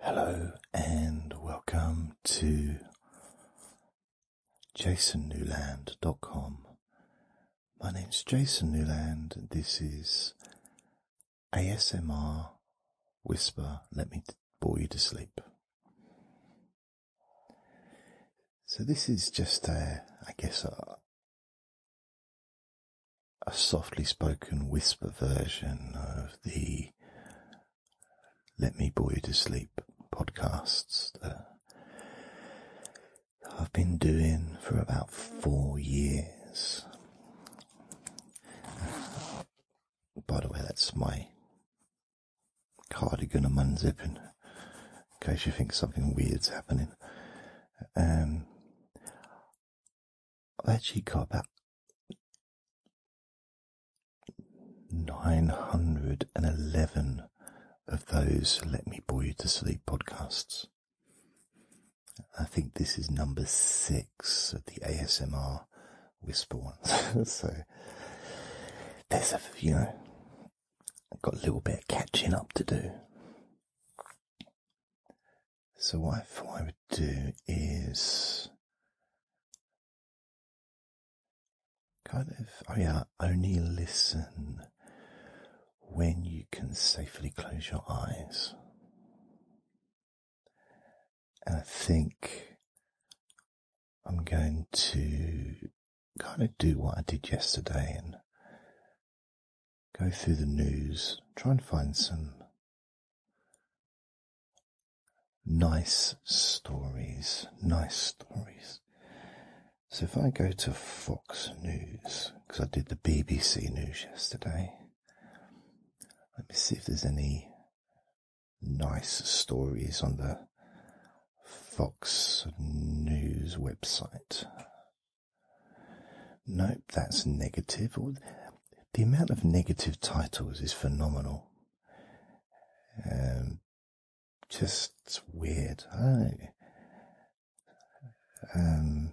Hello and welcome to jasonnewland.com. My name's Jason Newland. This is ASMR Whisper. Let me bore you to sleep. So this is just I guess, a softly spoken whisper version of the let Me Bore You to Sleep podcasts that I've been doing for about four years. By the way, that's my cardigan I'm unzipping in case you think something weird's happening. Um, I've actually got about nine hundred and eleven of those "Let Me Bore You to Sleep" podcasts. I think this is number six of the ASMR whisper ones. so there's a you know got a little bit of catching up to do. So what I thought I would do is kind of oh yeah, only listen when you can safely close your eyes. And I think I'm going to kind of do what I did yesterday and go through the news, try and find some Nice stories, nice stories. So if I go to Fox News, because I did the BBC News yesterday, let me see if there's any nice stories on the Fox News website. Nope, that's negative the amount of negative titles is phenomenal. Um, just weird. I um,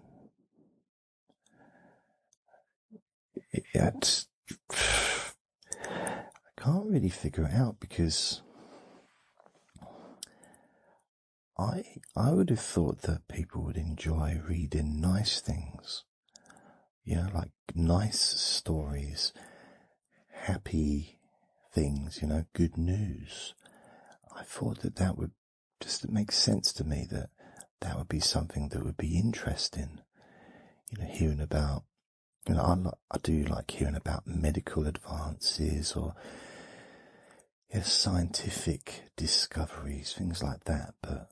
it, it, I can't really figure it out because I I would have thought that people would enjoy reading nice things, you like nice stories, happy things, you know, good news. I thought that that would just make sense to me that that would be something that would be interesting, you know, hearing about. You know, I, do like hearing about medical advances or you know, scientific discoveries, things like that, but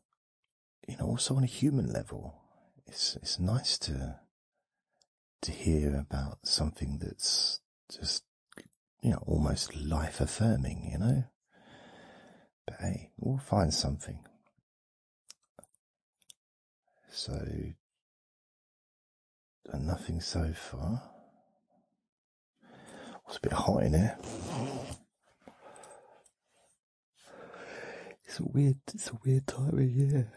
you know, also on a human level, it's it's nice to to hear about something that's just you know almost life affirming, you know. But hey, we'll find something. So, nothing so far. It's a bit hot in here. It's a weird, it's a weird time of year.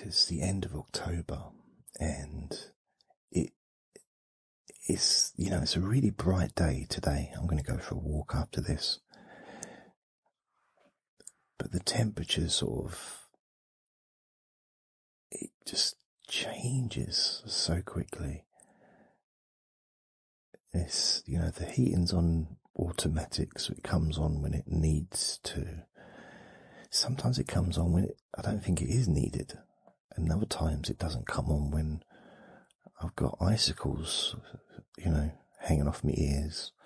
it's the end of October and it, it's, you know, it's a really bright day today. I'm going to go for a walk after this. But the temperature sort of, it just changes so quickly. It's, you know, the heating's on automatic, so it comes on when it needs to. Sometimes it comes on when I don't think it is needed, and other times it doesn't come on when I've got icicles, you know, hanging off my ears.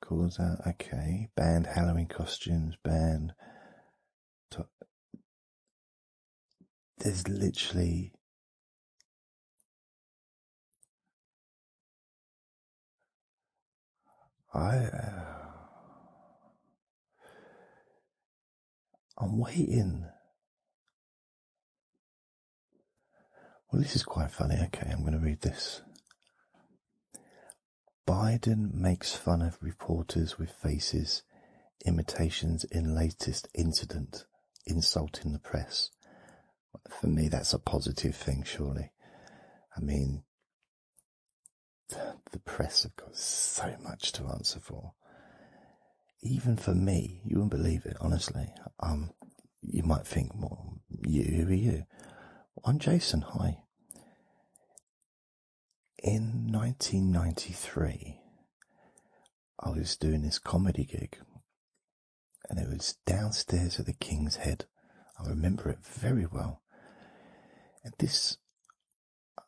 Calls out, okay. Banned Halloween costumes, banned. There's literally. I. Uh, I'm waiting. Well, this is quite funny. Okay, I'm going to read this. Biden makes fun of reporters with faces imitations in latest incident insulting the press. For me, that's a positive thing, surely. I mean, the press have got so much to answer for. Even for me, you wouldn't believe it, honestly. Um, you might think, well, you, who are you? I'm Jason, hi. In 1993, I was doing this comedy gig, and it was downstairs at the King's Head. I remember it very well. And this,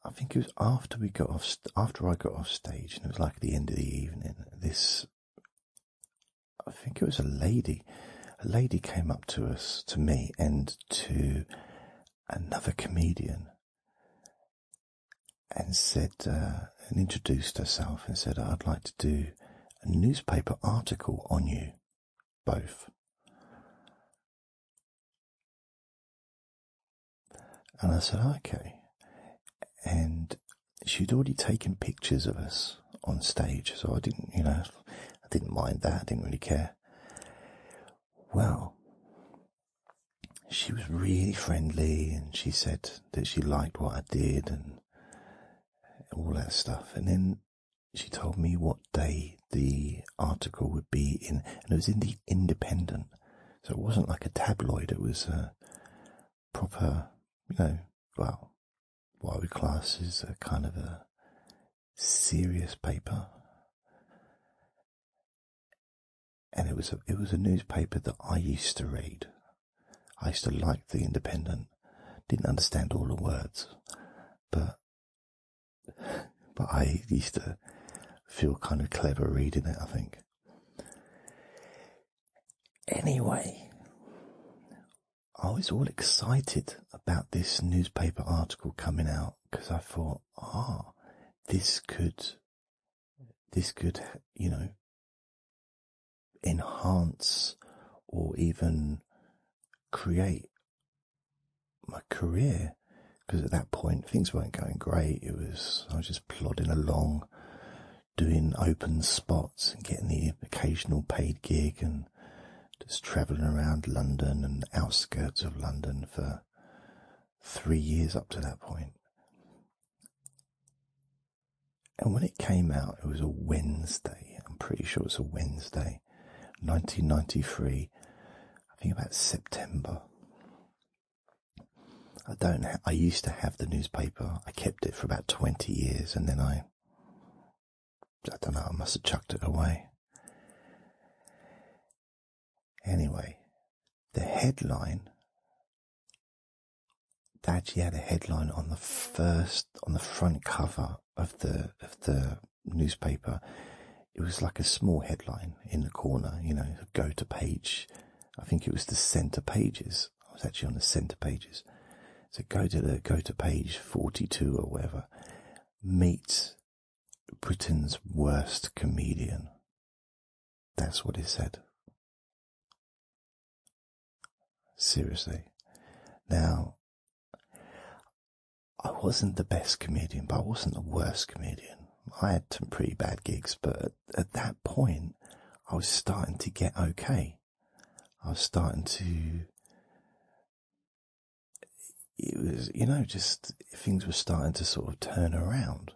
I think it was after we got off, after I got off stage, and it was like the end of the evening. This, I think it was a lady. A lady came up to us, to me, and to another comedian and said uh, and introduced herself and said, I'd like to do a newspaper article on you both. And I said, okay. And she'd already taken pictures of us on stage, so I didn't, you know, I didn't mind that, I didn't really care well. She was really friendly and she said that she liked what I did and all that stuff. And then she told me what day the article would be in, and it was in the Independent. So it wasn't like a tabloid, it was a proper, you know, well, what I class as a kind of a serious paper. And it was a, it was a newspaper that I used to read. I used to like the Independent. Didn't understand all the words, but but I used to feel kind of clever reading it. I think. Anyway, I was all excited about this newspaper article coming out because I thought, ah, this could, this could, you know, enhance or even create my career. Because at that point, things weren't going great. It was, I was just plodding along, doing open spots and getting the occasional paid gig and just travelling around London and the outskirts of London for three years up to that point. And when it came out, it was a Wednesday. I'm pretty sure it's a Wednesday, 1993. I think about September. I don't. Ha- I used to have the newspaper. I kept it for about 20 years, and then I. I don't know. I must have chucked it away. Anyway, the headline they actually had a headline on the first on the front cover of the of the newspaper. It was like a small headline in the corner, you know, go to page. I think it was the center pages. I was actually on the center pages. So go to the go to page forty two or whatever. Meet. Britain's worst comedian. That's what he said. Seriously. Now, I wasn't the best comedian, but I wasn't the worst comedian. I had some pretty bad gigs, but at, that point, I was starting to get okay. I was starting to it was, you know, just things were starting to sort of turn around.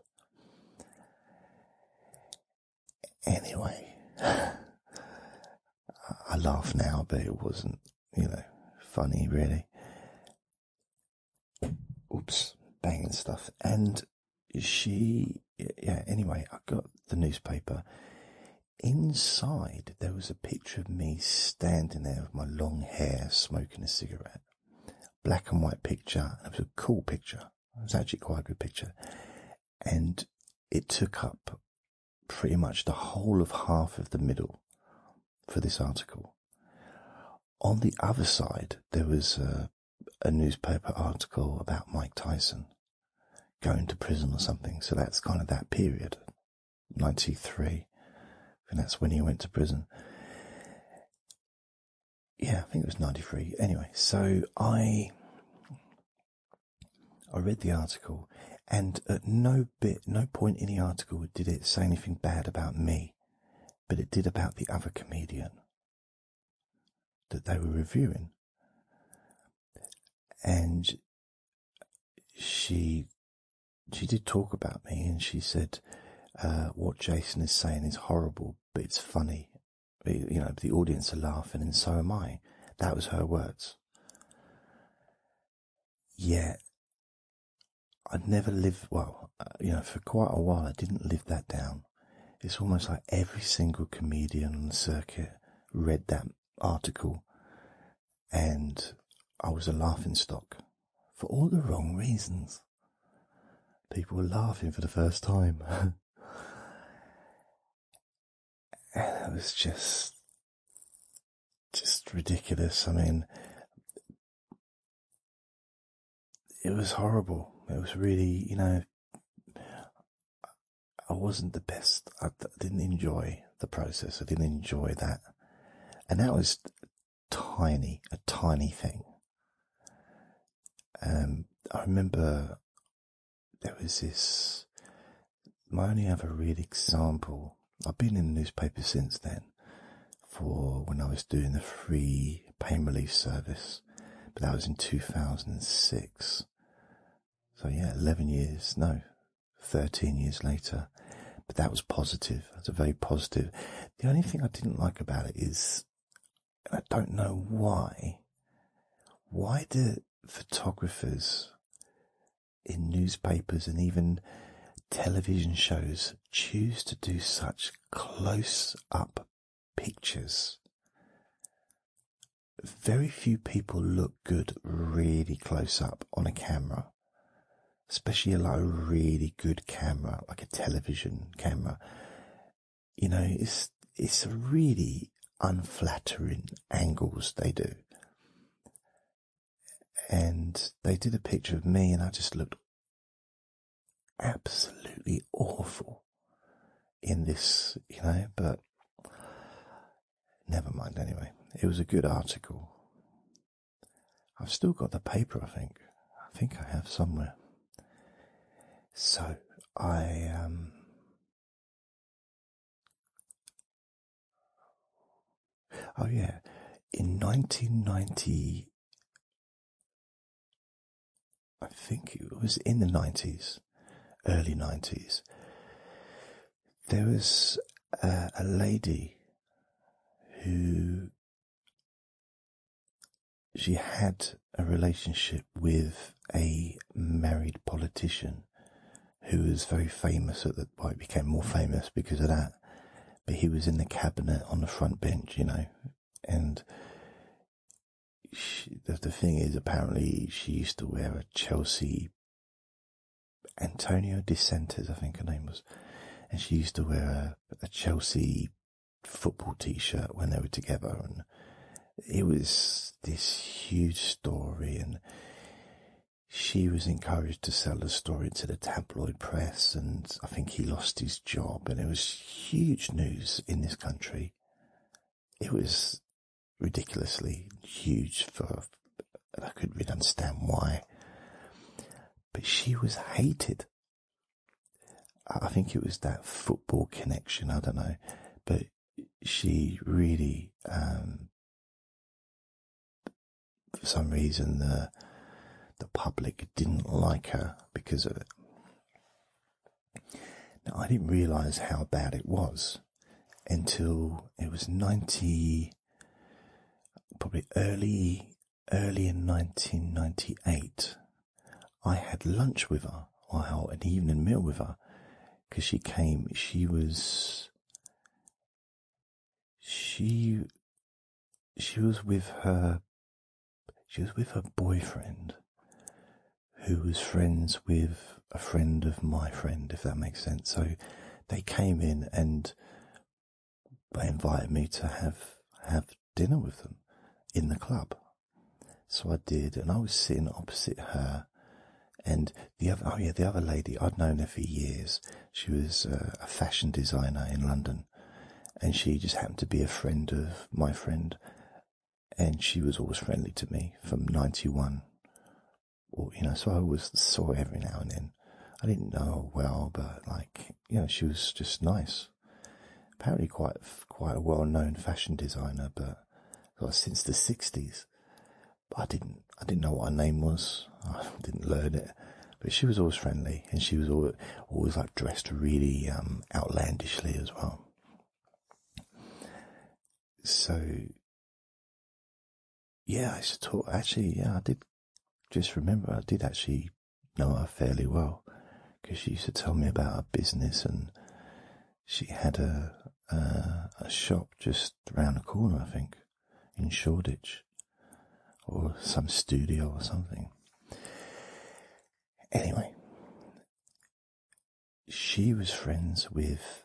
Anyway, I laugh now, but it wasn't, you know, funny really. Oops, banging stuff. And she, yeah, anyway, I got the newspaper. Inside, there was a picture picture of me standing there with my long hair smoking a cigarette. Black and white picture. It was a cool picture. It was actually quite a good picture. And it took up pretty much the whole of half of the middle for this article. On the other side, there was a newspaper article about Mike Tyson going to prison or something. So that's kind of that period. 93. And that's when he went to prison. Yeah, I think it was 93. Anyway, so I I read the article and at no bit, no point in the article did it say anything bad about me, but it did about the other comedian that they were reviewing. And she she did talk about me and she said, uh, what Jason is saying is horrible, but it's funny. you know, the audience are laughing and so am I. That was her words. Yeah. I'd never live well, uh, you know, for quite a while, I didn't live that down. It's almost like every single comedian on the circuit read that article and I was a laughing stock for all the wrong reasons. People were laughing for the first time. and it was just just ridiculous. I mean it was horrible. It was really, you know, I wasn't the best. I didn't enjoy the process. I didn't enjoy that. And that was tiny, a tiny thing. Um, I remember there was this. My only other real example. I've been in the newspaper since then, for when I was doing the free pain relief service, but that was in two thousand and six. So yeah, eleven years, no, thirteen years later. But that was positive. That's a very positive. The only thing I didn't like about it is, and I don't know why, why do photographers in newspapers and even television shows choose to do such close up pictures? Very few people look good really close up on a camera especially a lot of really good camera, like a television camera, you know, it's it's really unflattering angles they do. And they did a picture of me, and I just looked absolutely awful in this, you know, but never mind anyway. It was a good article. I've still got the paper, I think. I think I have somewhere. So I um, Oh yeah, in 1990 I think it was in the 90s, early 90s. There was a lady who she had a relationship with a married politician who was very famous at the became more famous because of that. But he was in the cabinet on the front bench, you know, and she, the, thing is, apparently, she used to wear a Chelsea Antonio De I think her name was, and she used to wear a a Chelsea football t-shirt when they were together and it was this huge story and she was encouraged to sell the story to the tabloid press and I think he lost his job and it was huge news in this country. It was ridiculously huge for I couldn't really understand why but she was hated. I think it was that football connection. I don't know, but she really, um, for some reason, the the public didn't like her because of it. Now I didn't realise how bad it was until it was ninety, probably early early in 1998, I had lunch with her, or an evening meal with her, because she came. She was she she was with her she was with her boyfriend who was friends with a friend of my friend if that makes sense so they came in and they invited me to have have dinner with them in the club. So I did, and I was sitting opposite her, and the other oh yeah, the other lady I'd known her for years. She was uh, a fashion designer in London, and she just happened to be a friend of my friend, and she was always friendly to me from '91. Or you know, so I always saw her every now and then. I didn't know her well, but like you know, she was just nice. Apparently, quite quite a well-known fashion designer, but since the '60s, I didn't I didn't know what her name was. I didn't learn it, but she was always friendly, and she was always, always like dressed really um, outlandishly as well. So, yeah, I should talk. Actually, yeah, I did just remember I did actually know her fairly well because she used to tell me about her business and she had a, shop just round the corner, I think, in Shoreditch or some studio or something. Anyway, she was friends with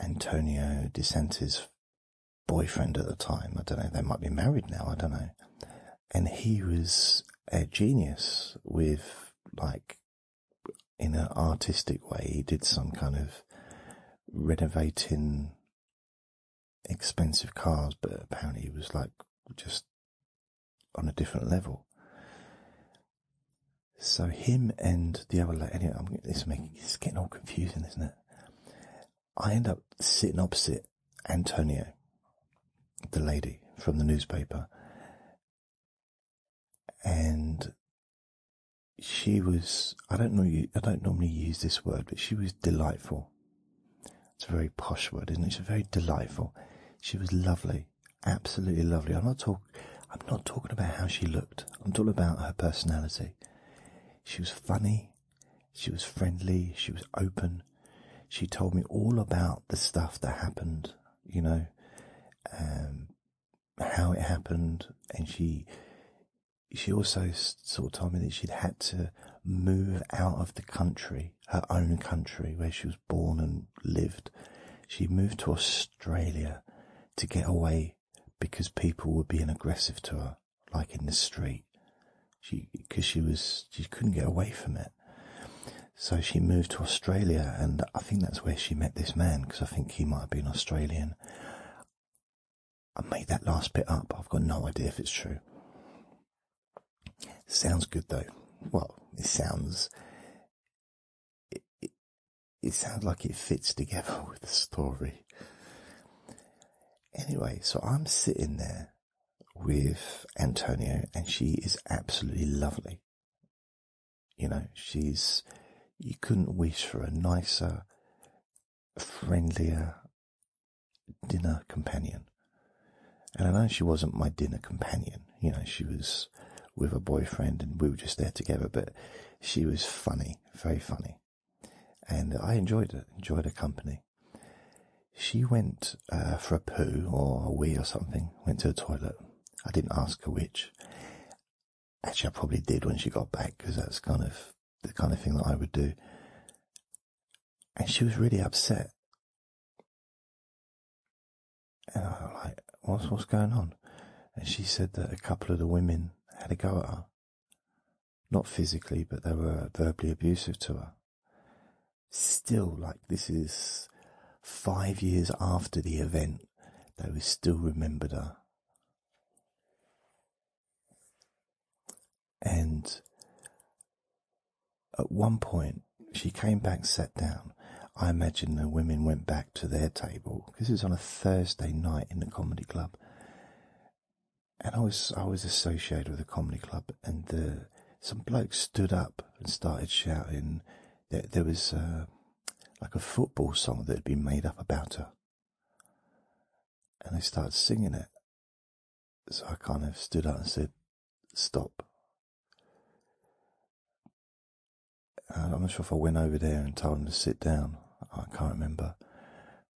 Antonio DeSantis' boyfriend at the time. I don't know. They might be married now. I don't know. And he was a genius with like in an artistic way. He did some kind of renovating expensive cars, but apparently he was like just on a different level. So him and the other lady, anyway, I'm, it's making it's getting all confusing, isn't it? I end up sitting opposite Antonio, the lady from the newspaper, and she was I don't know you I don't normally use this word, but she was delightful. It's a very posh word, isn't it? It's very delightful. She was lovely, absolutely lovely. I'm not talk I'm not talking about how she looked. I'm talking about her personality. She was funny. She was friendly, she was open. She told me all about the stuff that happened, you know, um, how it happened, and she she also sort of told me that she'd had to move out of the country, her own country where she was born and lived. She moved to Australia to get away because people were being aggressive to her like in the street. She, because she was, she couldn't get away from it. So she moved to Australia, and I think that's where she met this man. Because I think he might have been Australian. I made that last bit up. I've got no idea if it's true. Sounds good though. Well, it sounds. it, it sounds like it fits together with the story. Anyway, so I'm sitting there with Antonio, and she is absolutely lovely. You know, she's you couldn't wish for a nicer, friendlier dinner companion. And I know she wasn't my dinner companion, you know, she was with a boyfriend and we were just there together, but she was funny, very funny. And I enjoyed it, enjoyed her company. She went uh, for a poo or a wee or something, went to the toilet. I didn't ask her which. Actually, I probably did when she got back because that's kind of the kind of thing that I would do. And she was really upset. And I was like, what's, what's going on? And she said that a couple of the women had a go at her not physically, but they were verbally abusive to her. Still, like this is five years after the event, they were still remembered her. And at one point, she came back, sat down. I imagine the women went back to their table because it was on a Thursday night in the comedy club and I was I was associated with a comedy club, and some blokes stood up and started shouting. that there was uh, like a football song that had been made up about her, and they started singing it. So I kind of stood up and said, "Stop." I'm not sure if I went over there and told them to sit down. I can't remember,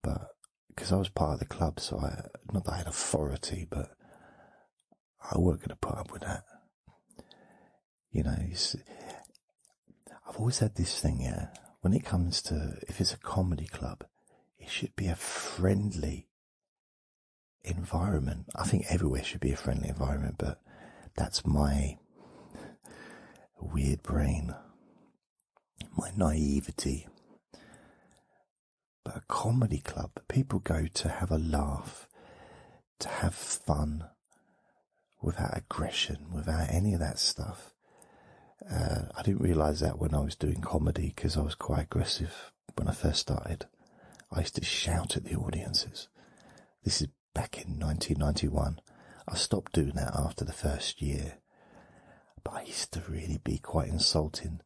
but because I was part of the club, so I not that I had authority, but I weren't going to put up with that. You know, I've always had this thing, yeah. When it comes to if it's a comedy club, it should be a friendly environment. I think everywhere should be a friendly environment, but that's my weird brain, my naivety but a comedy club that people go to have a laugh, to have fun, without aggression, without any of that stuff. Uh, I didn't realize that when I was doing comedy because I was quite aggressive when I first started. I used to shout at the audiences. This is back in 1991. I stopped doing that after the first year. But I used to really be quite insulting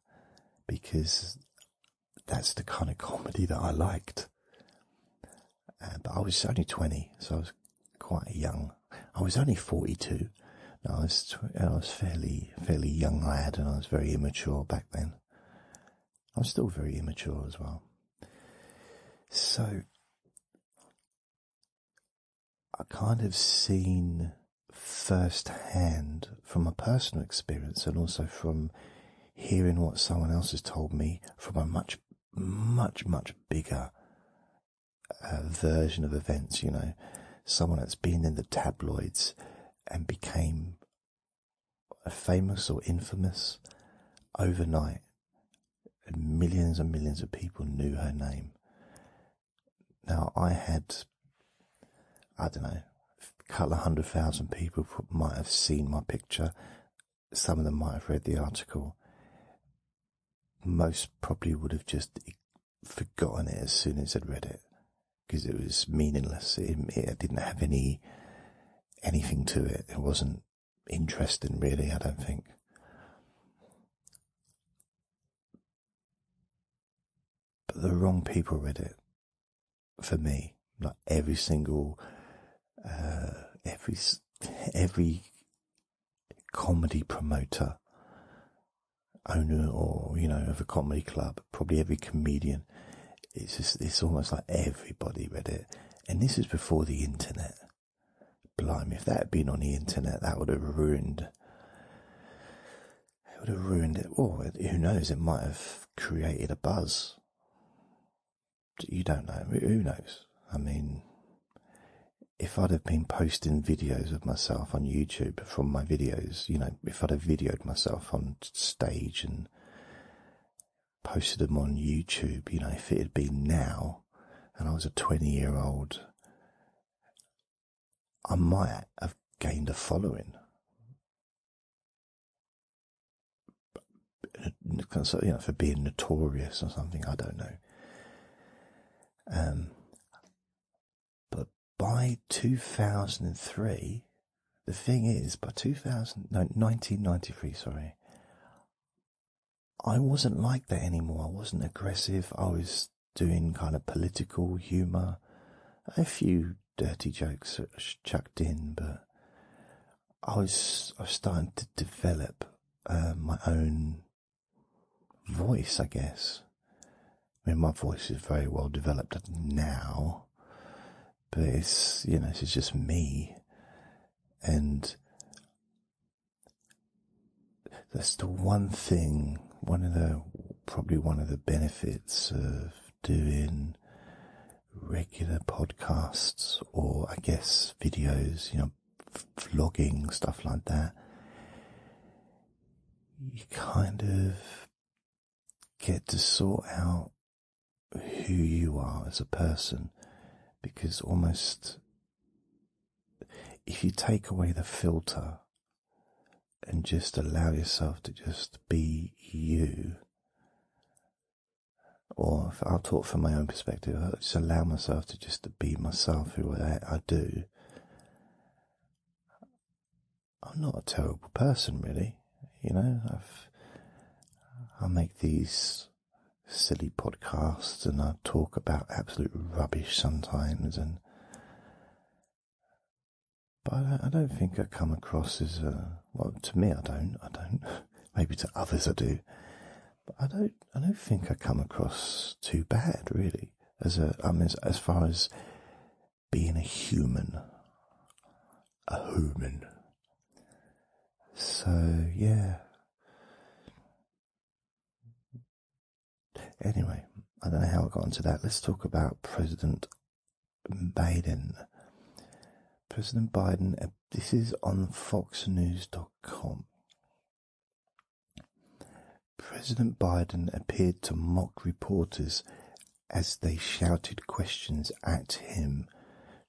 because that's the kind of comedy that I liked. Uh, but I was only 20, so I was quite young. I was only 42. No, I was, I was fairly, fairly young lad and I was very immature back then. I'm still very immature as well. So I kind of seen firsthand from a personal experience and also from hearing what someone else has told me from a much, much, much bigger uh, version of events, you know, someone that's been in the tabloids and became famous or infamous overnight. And millions and millions of people knew her name. Now, I had, I don't know, a couple of hundred thousand people might have seen my picture. Some of them might have read the article. Most probably would have just forgotten it as soon as I'd read it because it was meaningless. It, it, didn't have any anything to it. It wasn't interesting, really. I don't think but the wrong people read it for me. Like every single, uh, every every comedy promoter, owner, or you know, of a comedy club, probably every comedian. It's just it's almost like everybody read it, and this was before the internet. Blimey, if that had been on the internet, that would have ruined it would have ruined it. who knows? It might have created a buzz. You don't know. Who knows? I mean, if I'd have been posting videos of myself on YouTube from my videos, you know, if I'd have videoed myself on stage and posted them on YouTube, you know, if it had been now and I was a 20 year old I might have gained a following. for being notorious or something, I don't know. Um, but by 2003, the thing is, by 2000, no, 1993, sorry, I wasn't like that anymore. I wasn't aggressive. I was doing kind of political humor, a few dirty jokes chucked in, but I was I was starting to develop uh, my own voice, I guess. I mean, my voice is very well developed now, but it's you know, it's just me, and that's the one thing, one of the probably one of the benefits of doing regular podcasts or I guess videos, you know, vlogging, stuff like that. You kind of get to sort out who you are as a person because almost if you take away the filter and just allow yourself to just be you. Or if I'll talk from my own perspective, I just allow myself to just to be myself, who I, I do. I'm not a terrible person, really. You know, I've I make these silly podcasts and I talk about absolute rubbish sometimes, and but I don't think I come across as a well. To me, I don't. I don't. Maybe to others, I do. But I don't. I don't think I come across too bad, really. As a, I mean, as, as far as being a human, a human. So yeah. Anyway, I don't know how I got into that. Let's talk about President Biden. President Biden, uh, this is on FoxNews.com. President Biden appeared to mock reporters as they shouted questions at him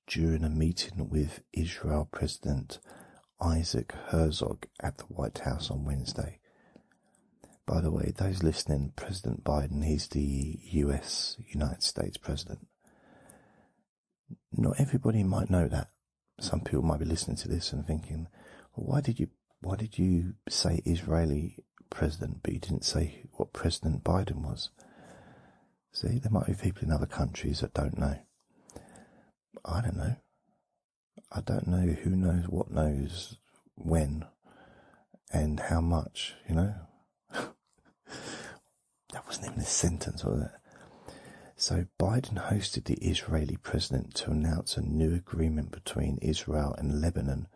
during a meeting with Israel President Isaac Herzog at the White House on Wednesday. By the way, those listening, President Biden, he's the US, United States President. Not everybody might know that. Some people might be listening to this and thinking, why did you why did you say Israeli president, but you didn't say what President Biden was? See, there might be people in other countries that don't know. I don't know. I don't know who knows what knows when and how much, you know? that wasn't even a sentence, was it? So Biden hosted the Israeli president to announce a new agreement between Israel and Lebanon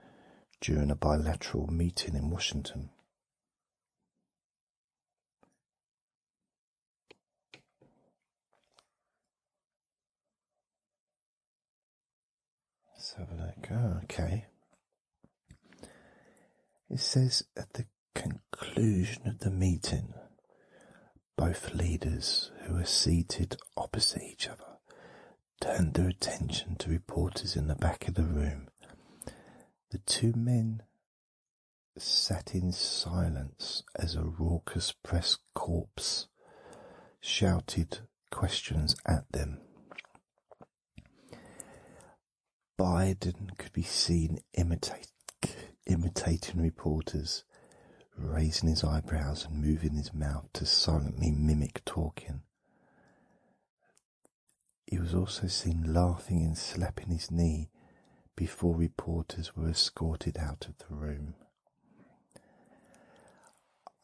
during a bilateral meeting in Washington. So us have look. Ah, okay. It says at the conclusion of the meeting, both leaders who were seated opposite each other turned their attention to reporters in the back of the room. The two men sat in silence as a raucous press corps shouted questions at them. Biden could be seen imitating reporters, raising his eyebrows and moving his mouth to silently mimic talking. He was also seen laughing and slapping his knee before reporters were escorted out of the room.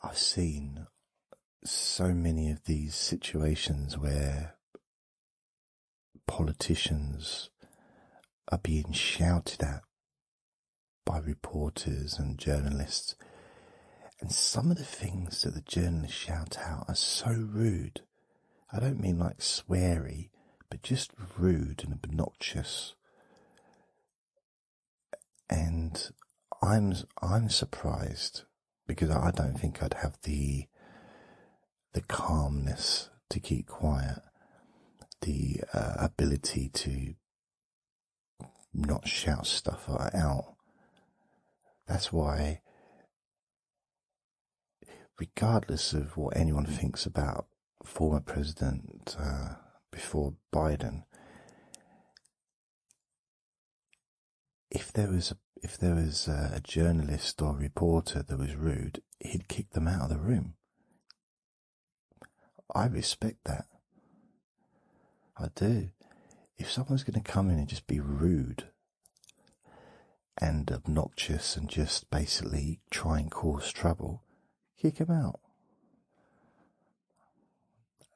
I've seen so many of these situations where politicians are being shouted at by reporters and journalists, and some of the things that the journalists shout out are so rude. I don't mean like sweary, but just rude and obnoxious and I'm I'm surprised because I don't think I'd have the the calmness to keep quiet, the uh, ability to not shout stuff out. That's why, regardless of what anyone thinks about former president uh, before Biden, if there was a, if there was a, journalist or reporter that was rude, he'd kick them out of the room. I respect that. I do. If someone's going to come in and just be rude and obnoxious and just basically try and cause trouble, kick them out.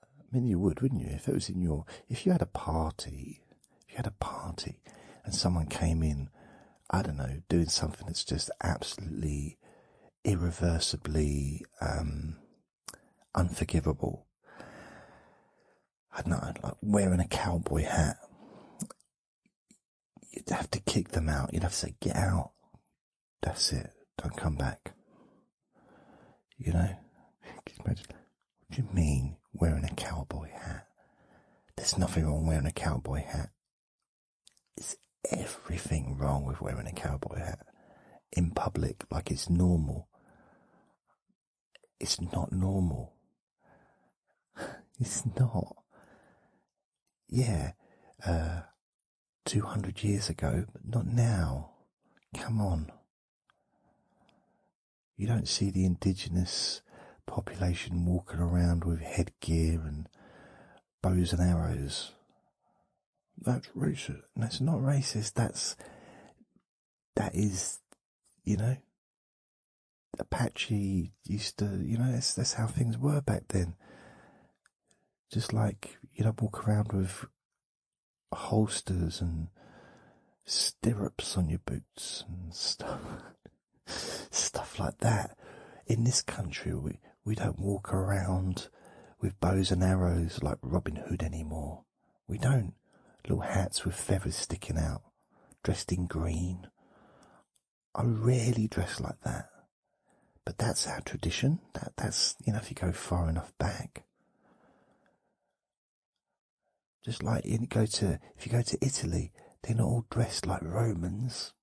I mean, you would, wouldn't you? If it was in your, if you had a party, if you had a party and someone came in, I don't know, doing something that's just absolutely irreversibly um, unforgivable. I don't know, like wearing a cowboy hat. You'd have to kick them out. You'd have to say, get out. That's it. Don't come back. You know, What do you mean wearing a cowboy hat? There's nothing wrong wearing a cowboy hat. Is everything wrong with wearing a cowboy hat in public? Like it's normal. It's not normal. it's not. Yeah, uh, 200 years ago, but not now. Come on. You don't see the indigenous population walking around with headgear and bows and arrows. That's racist. That's not racist. That's that is, you know, Apache used to, you know, that's that's how things were back then. Just like you don't walk around with holsters and stirrups on your boots and stuff stuff like that. In this country we we don't walk around with bows and arrows like Robin Hood anymore. We don't. Little hats with feathers sticking out, dressed in green. I rarely dress like that. But that's our tradition. That that's you know if you go far enough back. Just like in go to if you go to Italy, they're not all dressed like Romans.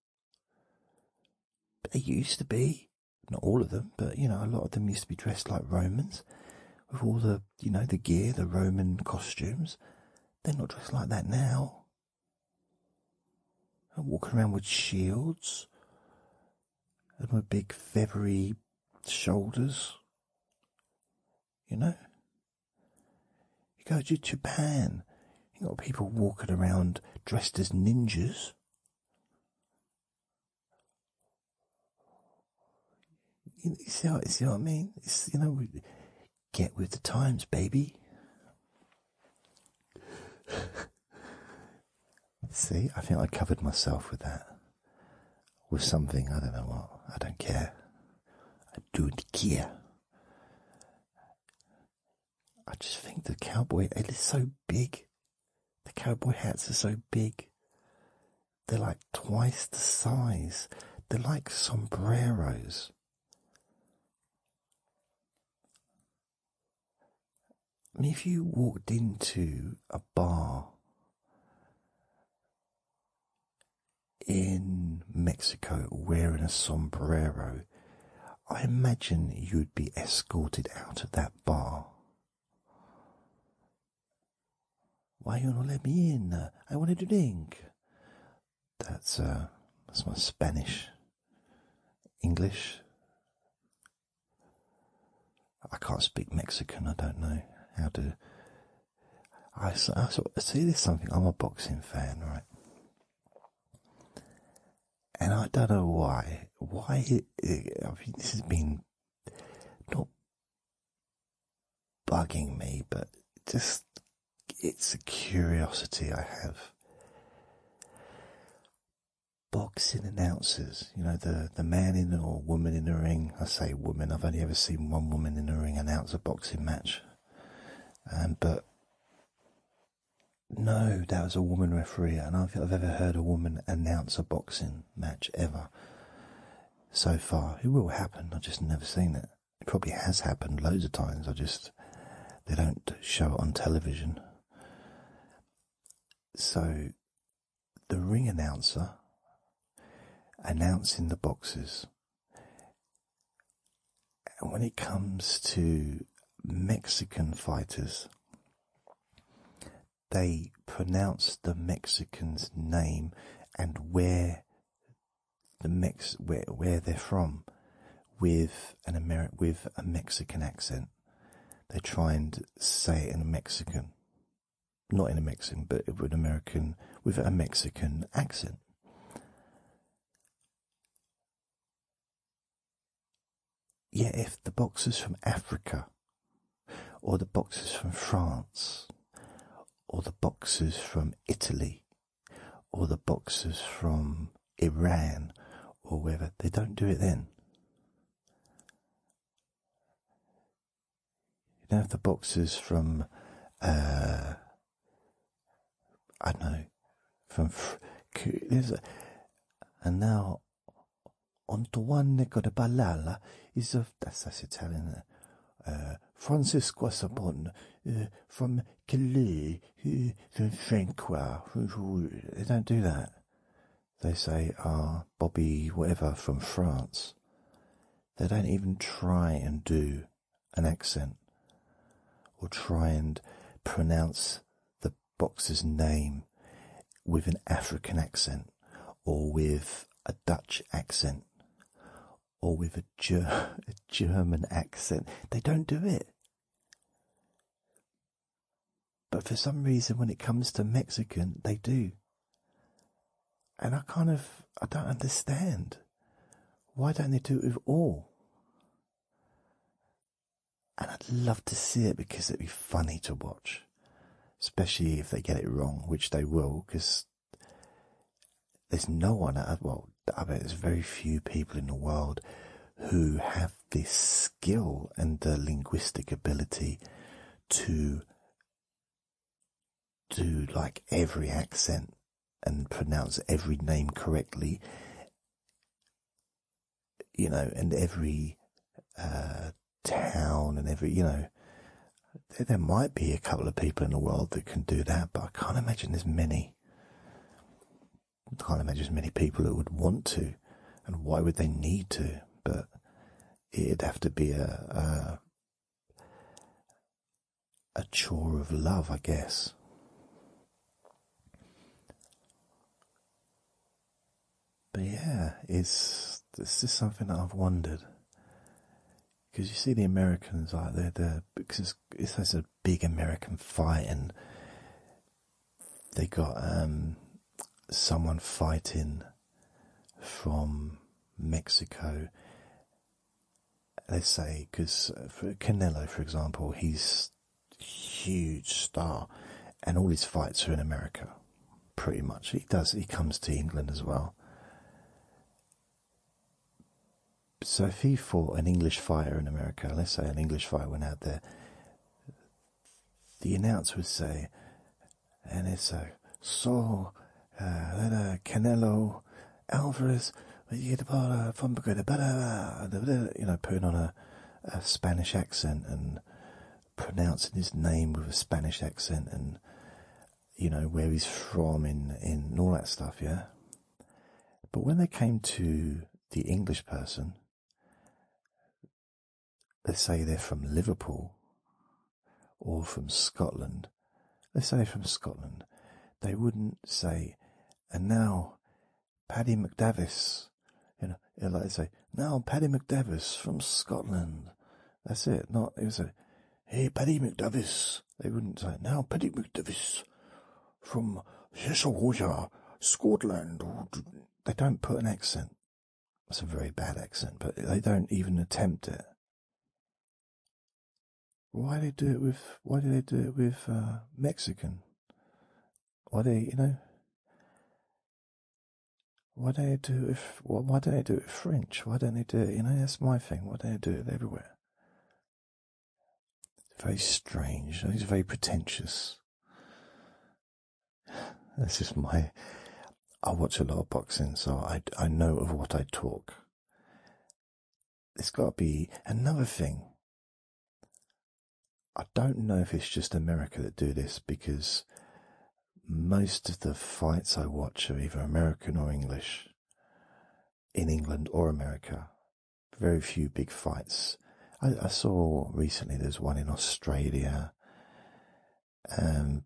they used to be. Not all of them, but you know, a lot of them used to be dressed like Romans. With all the you know, the gear, the Roman costumes. They're not dressed like that now. They're walking around with shields and my big feathery shoulders. You know? You go to Japan, you got people walking around dressed as ninjas. You see, what I mean? you know, get with the times, baby. see, I think I covered myself with that with something, I don't know what, I don't care. I don't care. I just think the cowboy, it is so big. The cowboy hats are so big. They're like twice the size. They're like sombreros. I if you walked into a bar in Mexico wearing a sombrero, I imagine you'd be escorted out of that bar. Why you not let me in? I wanted to drink. That's uh, that's my Spanish, English. I can't speak Mexican. I don't know how to. I, see this something. I'm a boxing fan, right? And I don't know why. Why I mean, this has been not bugging me, but just it's a curiosity I have. Boxing announcers you know, the, the man in or woman in the ring. I say woman, I've only ever seen one woman in a ring announce a boxing match. Um, but no, that was a woman referee. And I've, I've ever heard a woman announce a boxing match ever so far. It will happen. I've just never seen it. It probably has happened loads of times. I just, they don't show it on television. So the ring announcer announcing the boxes. when it comes to Mexican fighters, they pronounce the Mexican's name and where the Mex where where they're from with an Ameri- with a Mexican accent. They try and say it in Mexican not in a Mexican, but with an American with a Mexican accent. Yet, yeah, if the boxers from Africa, or the boxers from France, or the boxers from Italy, or the boxers from Iran, or wherever, they don't do it then. You know the boxes from, uh, I don't know, from. There's a, and now, a Codapalala is of. That's, that's Italian. Francis uh, Francisco uh, from Calais, from Francois. They don't do that. They say, ah, Bobby, whatever, from France. They don't even try and do an accent or try and pronounce the boxer's name with an African accent or with a Dutch accent or with a, German accent. They don't do it. But for some reason, when it comes to Mexican, they do. And I kind of, I don't understand. Why don't they do it with all? And I'd love to see it because it'd be funny to watch, especially if they get it wrong, which they will, because there's no one, well, I bet there's very few people in the world who have this skill and the linguistic ability to do like every accent and pronounce every name correctly, you know, and every uh, town and every, you know, there, might be a couple of people in the world that can do that, but I can't imagine there's many. I can't imagine as many people that would want to, and why would they need to? But it'd have to be a a chore of love, I guess. But yeah, it's this is something that I've wondered because you see the Americans like they're the because it's, it's a big American fight and they got um, someone fighting from Mexico. Let's say, because Canelo, for example, he's a huge star, and all his fights are in America, pretty much. He does. He comes to England as well. So if he fought an English fighter in America, let's say an English fighter went out there, the announcer would say, and it's a so uh, then a Canelo, Alvarez. You get a uh, from you know, putting on a, Spanish accent and pronouncing his name with a Spanish accent and you know where he's from and all that stuff, yeah. But when they came to the English person, they say they're from Liverpool or from Scotland, let's say from Scotland, they wouldn't say, and now Paddy McDavis, you know, it'll say, now Paddy McDavis from Scotland. That's it. Not it was a, hey Paddy McDavis. They wouldn't say, now Paddy McDavis from Cheshire, Scotland. They don't put an accent. That's a very bad accent, but they don't even attempt it. Why do they do it with? Why do they do it with uh, Mexican? Why do they, you know? Why do they do it with? Why, do they do it French? Why do they do it? You know, that's my thing. Why do they do it everywhere? It's very strange. It's very pretentious. That's just my. I watch a lot of boxing, so I, I know of what I talk. There's got to be another thing. I don't know if it's just America that do this because most of the fights I watch are either American or English, in England or America. Very few big fights. I, I saw recently there's one in Australia. Um,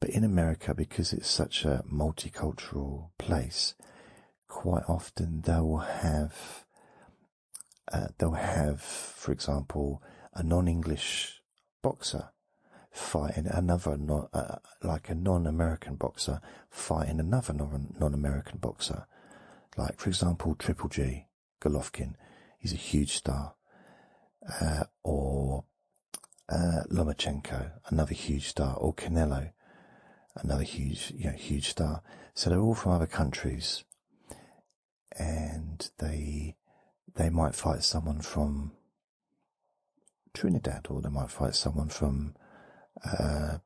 but in America, because it's such a multicultural place, quite often they'll have, uh, they'll have, for example, a non-English boxer fighting another, uh, like a non-American boxer fighting another non-American boxer. Like, for example, Triple G, Golovkin, he's a huge star. Uh, or uh, Lomachenko, another huge star, or Canelo, another huge, you know, huge star. So they're all from other countries, and they they might fight someone from Trinidad, or they might fight someone from uh,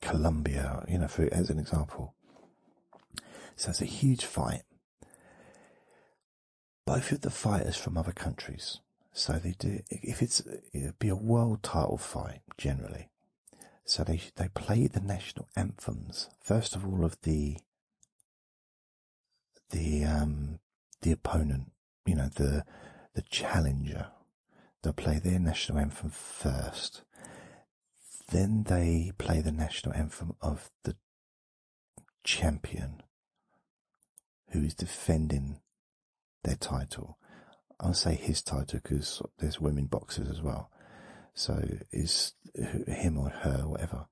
Colombia, you know, as an example. So it's a huge fight both of the fighters from other countries. So they do, if it's, be a world title fight generally. So they, they play the national anthems, first of all of the, the, um, the opponent, you know, the, the challenger. they play their national anthem first. Then they play the national anthem of the champion who is defending their title. I'll say his title because there's women boxers as well. So it's him or her, whatever.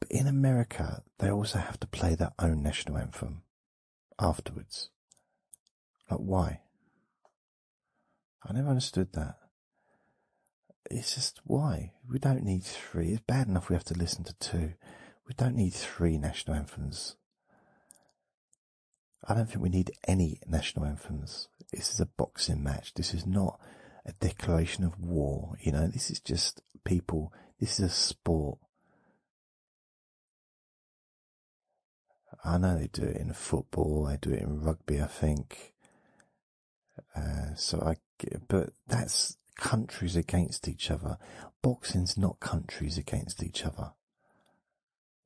But in America, they also have to play their own national anthem afterwards. Like, why? I never understood that. It's just why? We don't need three. It's bad enough we have to listen to two. We don't need three national anthems. I don't think we need any national anthems. This is a boxing match. This is not a declaration of war. You know, this is just people. This is a sport. I know they do it in football. They do it in rugby, I think. Uh, so I, but that's countries against each other. Boxing's not countries against each other.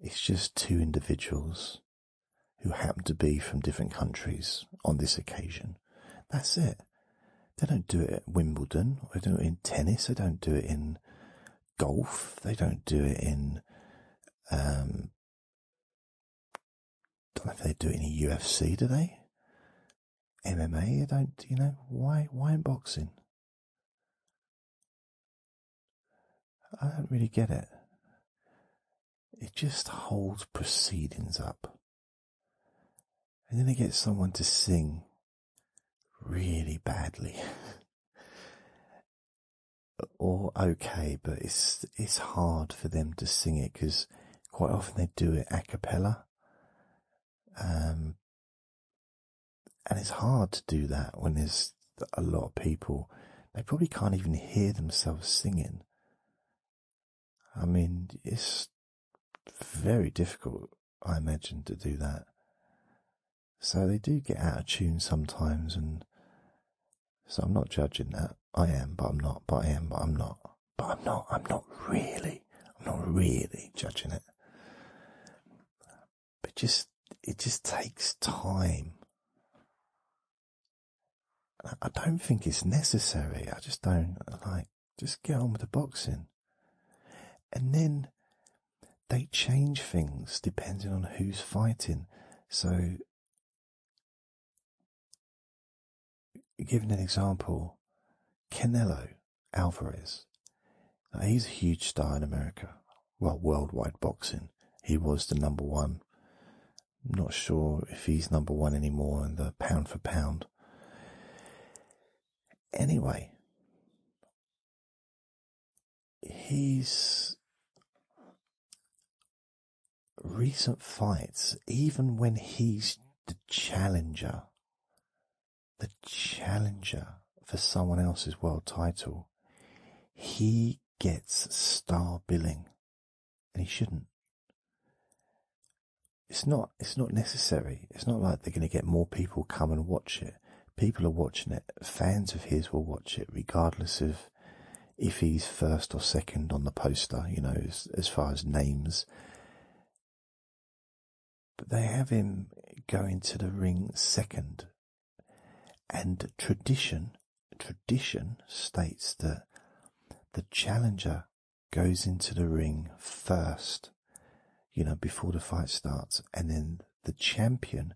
It's just two individuals who happen to be from different countries on this occasion. That's it. They don't do it at Wimbledon. They do it in tennis. They don't do it in golf. They don't do it in um, don't know if they do any UFC, do they? MMA, I don't, you know, why, why boxing? I don't really get it. It just holds proceedings up. And then they get someone to sing really badly. or okay, but it's, it's hard for them to sing it because Quite often they do it a cappella. Um, and it's hard to do that when there's a lot of people. They probably can't even hear themselves singing. I mean, it's very difficult, I imagine, to do that. So they do get out of tune sometimes, and so I'm not judging that. I am, but I'm not, but I am, but I'm not but I'm not, I'm not really, I'm not really judging it. But just, it just takes time. I, I don't think it's necessary. I just don't like, just get on with the boxing. And then they change things depending on who's fighting. So Given an example, Canelo Alvarez. he's a huge star in America. Well, worldwide boxing. He was the number one. I'm not sure if he's number one anymore in the pound for pound. Anyway, he's recent fights, even when he's the challenger, the challenger for someone else's world title, he gets star billing, and he shouldn't. It's not. It's not necessary. It's not like they're going to get more people come and watch it. People are watching it. Fans of his will watch it, regardless of if he's first or second on the poster. You know, as, as far as names, but they have him go into the ring second. And tradition, tradition states that the challenger goes into the ring first, you know, before the fight starts, and then the champion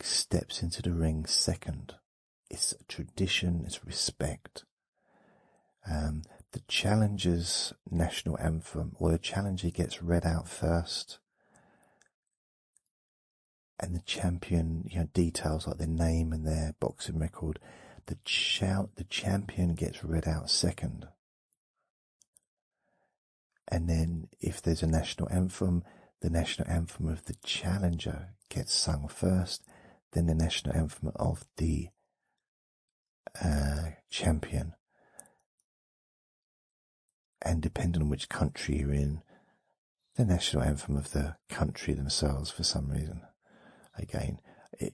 steps into the ring second. It's tradition, it's respect. Um, the Challengers national anthem, or the challenger gets read out first, and the champion, you know, details like their name and their boxing record. The shout, the champion gets read out second, and then if there's a national anthem, the national anthem of the challenger gets sung first, then the national anthem of the uh, champion. And depending on which country you're in, the national anthem of the country themselves, for some reason, again,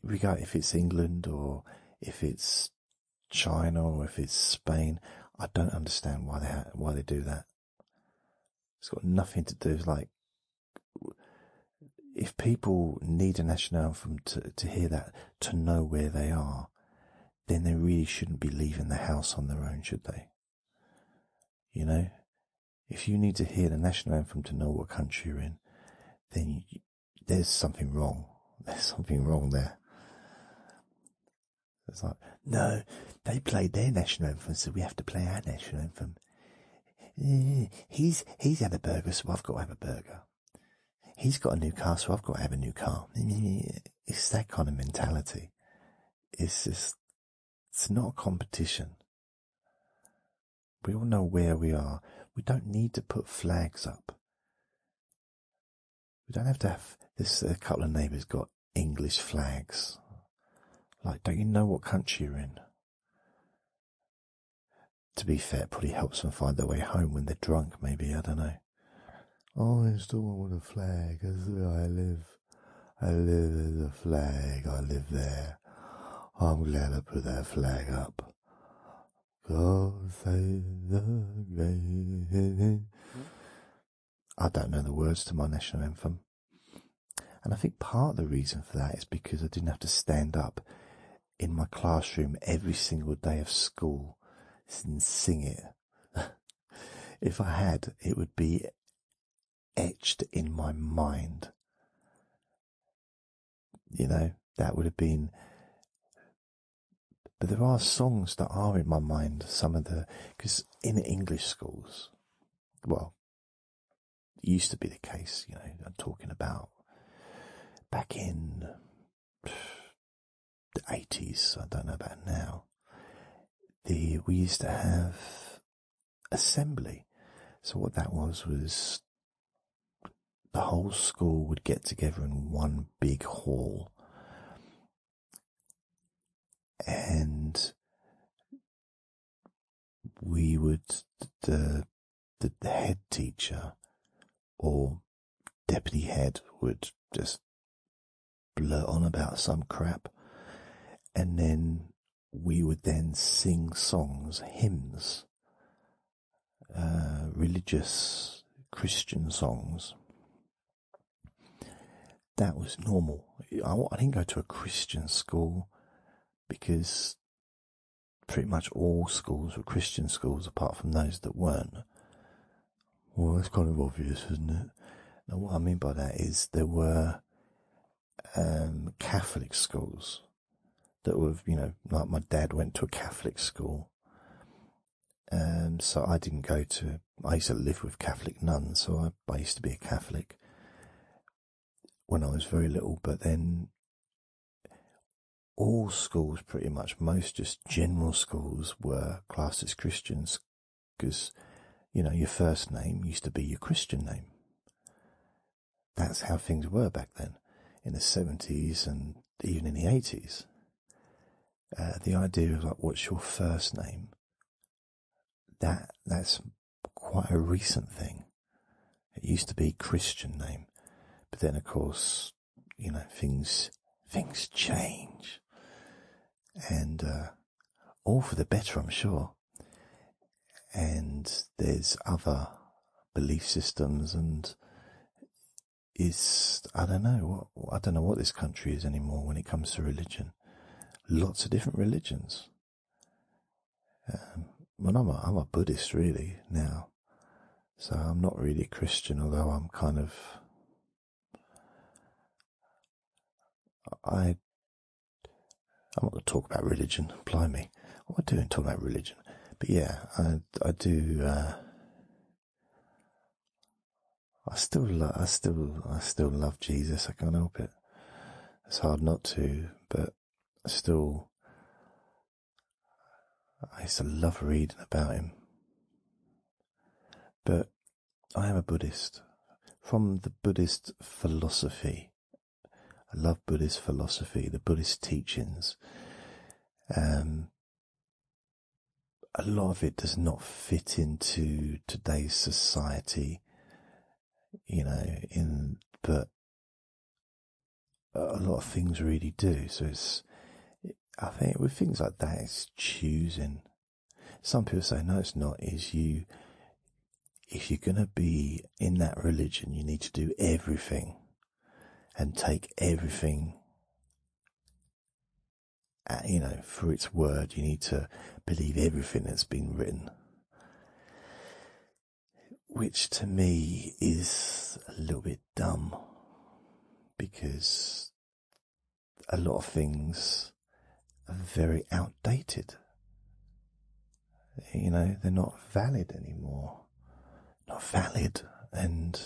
regard if it's England or if it's China or if it's Spain, I don't understand why they why they do that. It's got nothing to do with like if people need a national anthem to, hear that, to know where they are, then they really shouldn't be leaving the house on their own, should they? You know, if you need to hear the national anthem to know what country you're in, then there's something wrong. There's something wrong there. It's like, no, they played their national anthem, so we have to play our national anthem. He's he's had a burger, so I've got to have a burger. He's got a new car, so I've got to have a new car. It's that kind of mentality. It's just it's not a competition. We all know where we are. We don't need to put flags up. We don't have to have this. A couple of neighbours got English flags. Like, don't you know what country you're in? To be fair, it probably helps them find their way home when they're drunk, maybe. I don't know. Oh, I'm one with a flag. That's where I live. I live with a flag. I live there. I'm glad I put that flag up. God save the great. I don't know the words to my national anthem. And I think part of the reason for that is because I didn't have to stand up in my classroom every single day of school and sing it. if I had, it would be etched in my mind. You know, that would have been. But there are songs that are in my mind, some of the. Because in English schools, well, used to be the case, you know, I'm talking about back in the 80s, I don't know about now, the, we used to have assembly. So what that was, was the whole school would get together in one big hall and we would the the head teacher or deputy head would just blurt on about some crap and then we would then sing songs hymns uh, religious christian songs that was normal I didn't go to a christian school because pretty much all schools were Christian schools apart from those that weren't. Well, it's kind of obvious, isn't it? Now, what I mean by that is there were um, Catholic schools that were, you know, like my dad went to a Catholic school. Um, so I didn't go to, I used to live with Catholic nuns, so I used to be a Catholic when I was very little, but then all schools, pretty much, most just general schools were classed as Christians because, you know, your first name used to be your Christian name. That's how things were back then in the 70s and even in the 80s. Uh, the idea of like, what's your first name? That, that's quite a recent thing. It used to be Christian name, but then of course, you know, things things change, and uh, all for the better, I'm sure. And there's other belief systems, and it's I don't know what I don't know what this country is anymore when it comes to religion. Lots of different religions. Um, well, I'm a, I'm a Buddhist really now, so I'm not really a Christian, although I'm kind of. I. I'm not going to talk about religion. Blimey, what am I doing talk about religion? But yeah, I I do. Uh, I still lo- I still I still love Jesus. I can't help it. It's hard not to, but still I used to love reading about him. But I am a Buddhist. From the Buddhist philosophy, I love Buddhist philosophy, the Buddhist teachings. Um, a lot of it does not fit into today's society, you know, in, but a lot of things really do. So it's, I think with things like that, it's choosing. Some people say, no, it's not. Is you, if you're going to be in that religion, you need to do everything and take everything you know, for its word. You need to believe everything that's been written which to me is a little bit dumb because a lot of things are very outdated. You know, they're not valid anymore. Not valid. And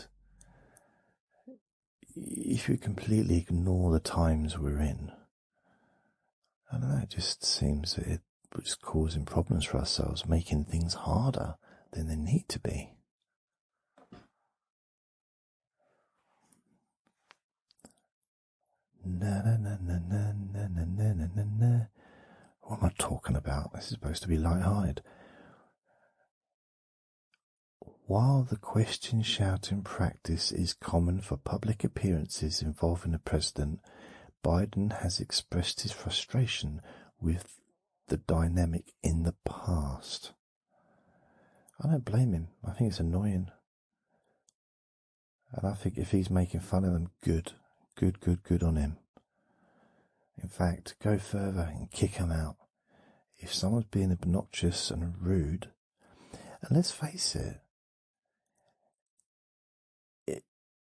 if you completely ignore the times we're in, I don't know, it just seems that it, just causing problems for ourselves, making things harder than they need to be. What am I talking about? This is supposed to be light-hearted. While the question shouting practice is common for public appearances involving the president, Biden has expressed his frustration with the dynamic in the past. I don't blame him. I think it's annoying. And I think if he's making fun of them, good, good, good, good on him. In fact, go further and kick him out. If someone's being obnoxious and rude, and let's face it,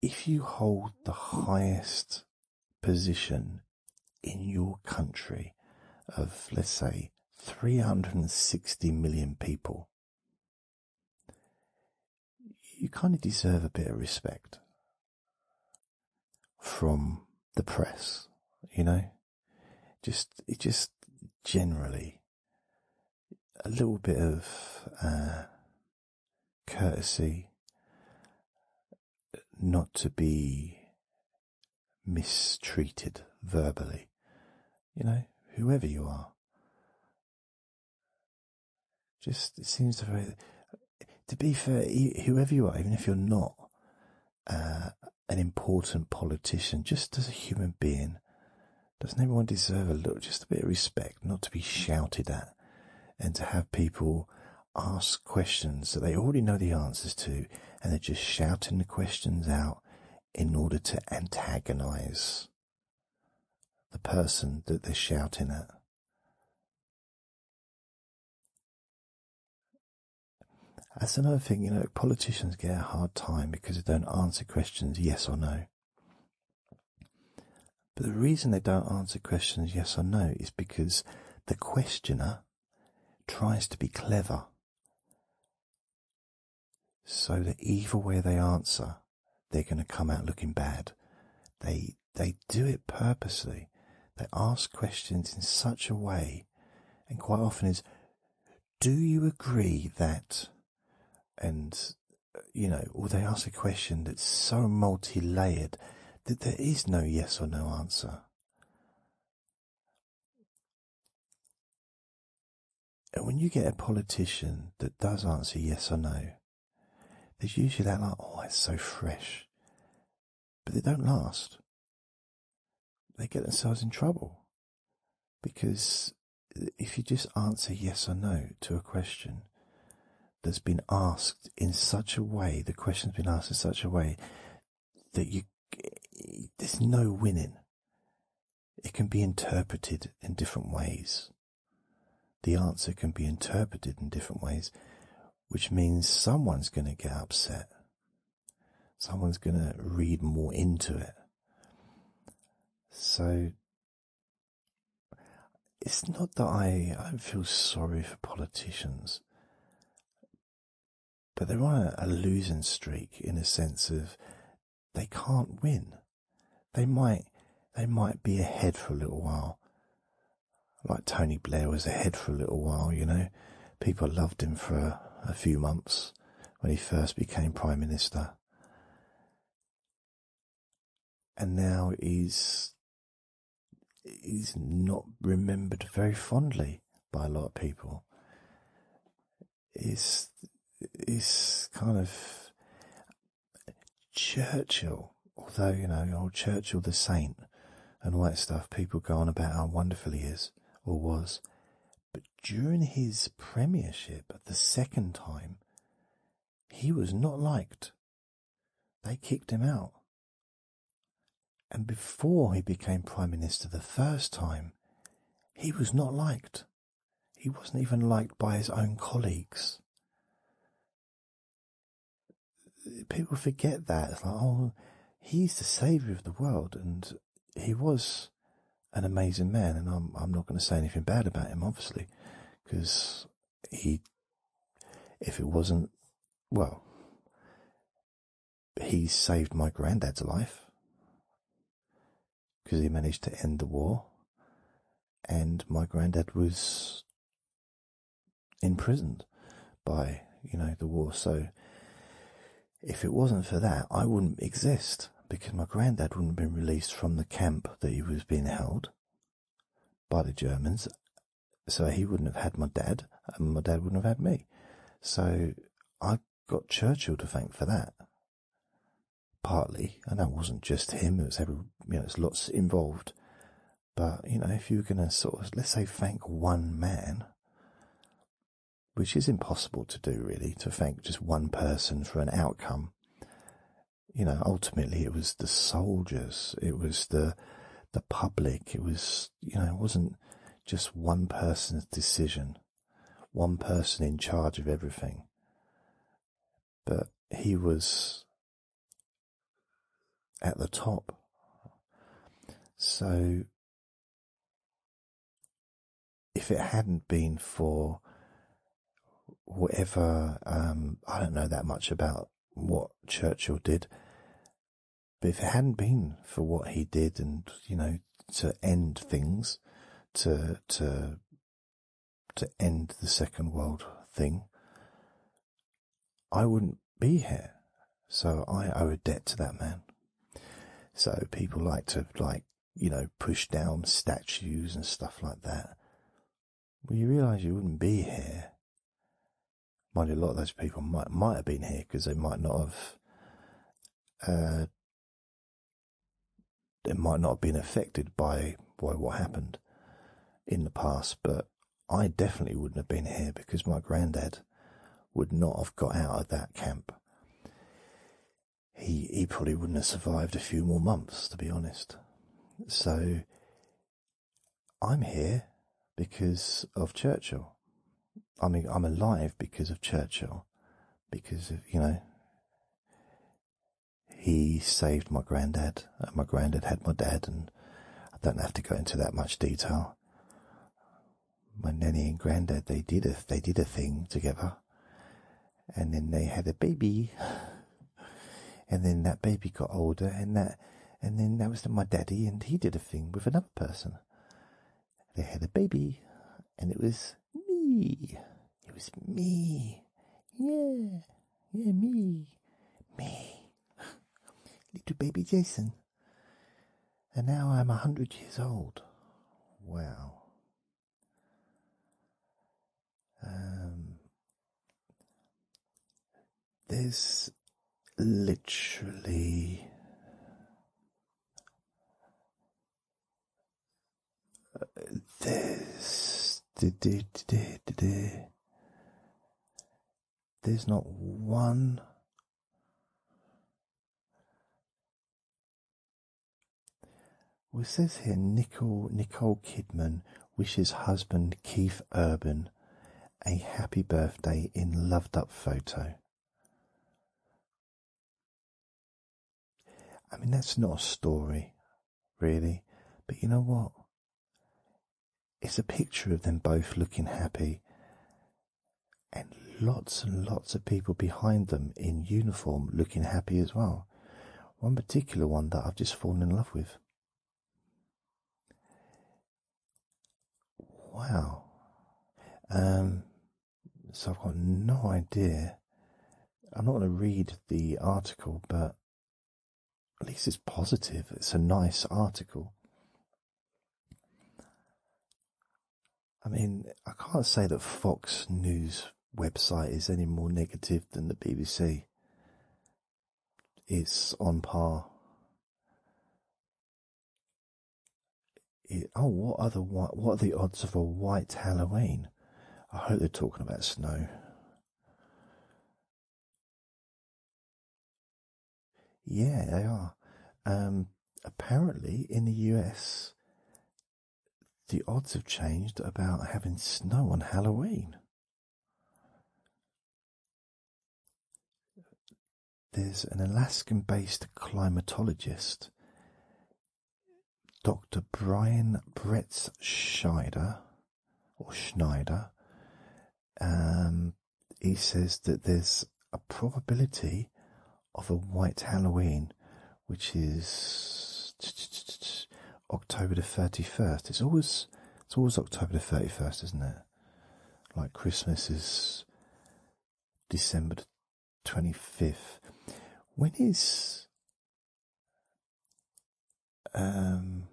if you hold the highest position in your country of, let's say, 360 million people, you kind of deserve a bit of respect from the press, you know? Just, just generally a little bit of, uh, courtesy not to be mistreated verbally, you know, whoever you are. Just it seems to very, to be fair, whoever you are, even if you're not uh, an important politician, just as a human being, doesn't everyone deserve a little, just a bit of respect, not to be shouted at, and to have people ask questions that they already know the answers to, and they're just shouting the questions out in order to antagonize the person that they're shouting at. That's another thing, you know, politicians get a hard time because they don't answer questions yes or no. But the reason they don't answer questions yes or no is because the questioner tries to be clever. So that either way they answer, they're going to come out looking bad. They, they do it purposely. They ask questions in such a way, and quite often is, do you agree that, and uh, you know, or they ask a question that's so multi-layered that there is no yes or no answer. And when you get a politician that does answer yes or no, there's usually that like, oh, it's so fresh. But it don't last. They get themselves in trouble. Because if you just answer yes or no to a question, that's been asked in such a way, the question's been asked in such a way that you, there's no winning. It can be interpreted in different ways. The answer can be interpreted in different ways, which means someone's going to get upset. Someone's going to read more into it. So it's not that I, I feel sorry for politicians, but they're on a, losing streak in a sense of they can't win. They might they might be ahead for a little while. Like Tony Blair was ahead for a little while, you know. People loved him for a few months when he first became Prime Minister and now he's he's not remembered very fondly by a lot of people. Is is kind of Churchill, although you know old Churchill the saint and all that stuff. People go on about how wonderful he is or was, but during his premiership, the second time, he was not liked. They kicked him out. And before he became Prime Minister the first time, he was not liked. He wasn't even liked by his own colleagues. People forget that. like, oh, he's the saviour of the world, and he was an amazing man. And I'm not going to say anything bad about him, obviously, because he, if it wasn't, well, he saved my granddad's life because he managed to end the war, and my granddad was imprisoned by you know the war. So if it wasn't for that, I wouldn't exist because my granddad wouldn't have been released from the camp that he was being held by the Germans, so he wouldn't have had my dad, and my dad wouldn't have had me. So I got Churchill to thank for that. Partly, and that wasn't just him, it was every, you know, it's lots involved. But, you know, if you're going to sort of, let's say, thank one man, which is impossible to do really, to thank just one person for an outcome. You know, ultimately it was the soldiers, it was the the public. It was, you know, it wasn't just one person's decision, one person in charge of everything. But he was at the top. So, if it hadn't been for whatever, um, I don't know that much about what Churchill did, but if it hadn't been for what he did and, you know, to end things, to, to, to end the second world thing, I wouldn't be here. So I owe a debt to that man. So people like to, like, you know, push down statues and stuff like that. Well, you realize you wouldn't be here Mind a lot of those people might might have been here because they might not have. Uh, they might not have been affected by by what happened in the past, but I definitely wouldn't have been here because my granddad would not have got out of that camp. He he probably wouldn't have survived a few more months, to be honest. So I'm here because of Churchill. I mean, I'm alive because of Churchill, because of, you know, he saved my granddad, and uh, my granddad had my dad, and I don't have to go into that much detail. My nanny and granddad, they did a, they did a thing together, and then they had a baby, and then that baby got older, and that and then that was my daddy, and he did a thing with another person. They had a baby, and it was me. It was me. Yeah, yeah, me, me, little baby Jason. And now I'm a hundred years old. Wow. Um, there's literally there's there's not one well it says here Nicole Nicole Kidman wishes husband Keith Urban a happy birthday in loved up photo. I mean, that's not a story, really, but you know what? It's a picture of them both looking happy and lots and lots of people behind them in uniform looking happy as well. One particular one that I've just fallen in love with. Wow. Um, so I've got no idea. I'm not going to read the article, but at least it's positive. It's a nice article. I mean, I can't say that Fox News website is any more negative than the BBC it's on par. oh, what are the what, are the odds of a white Halloween? I hope they're talking about snow. Yeah, they are. Um, apparently, in the US, the odds have changed about having snow on Halloween. There's an Alaskan-based climatologist, Doctor Brian Bretzschneider, or Schneider. Um, he says that there's a probability of a white Halloween, which is October the thirty-first. It's always it's always October the thirty-first, isn't it? like Christmas is December 25th. When is um,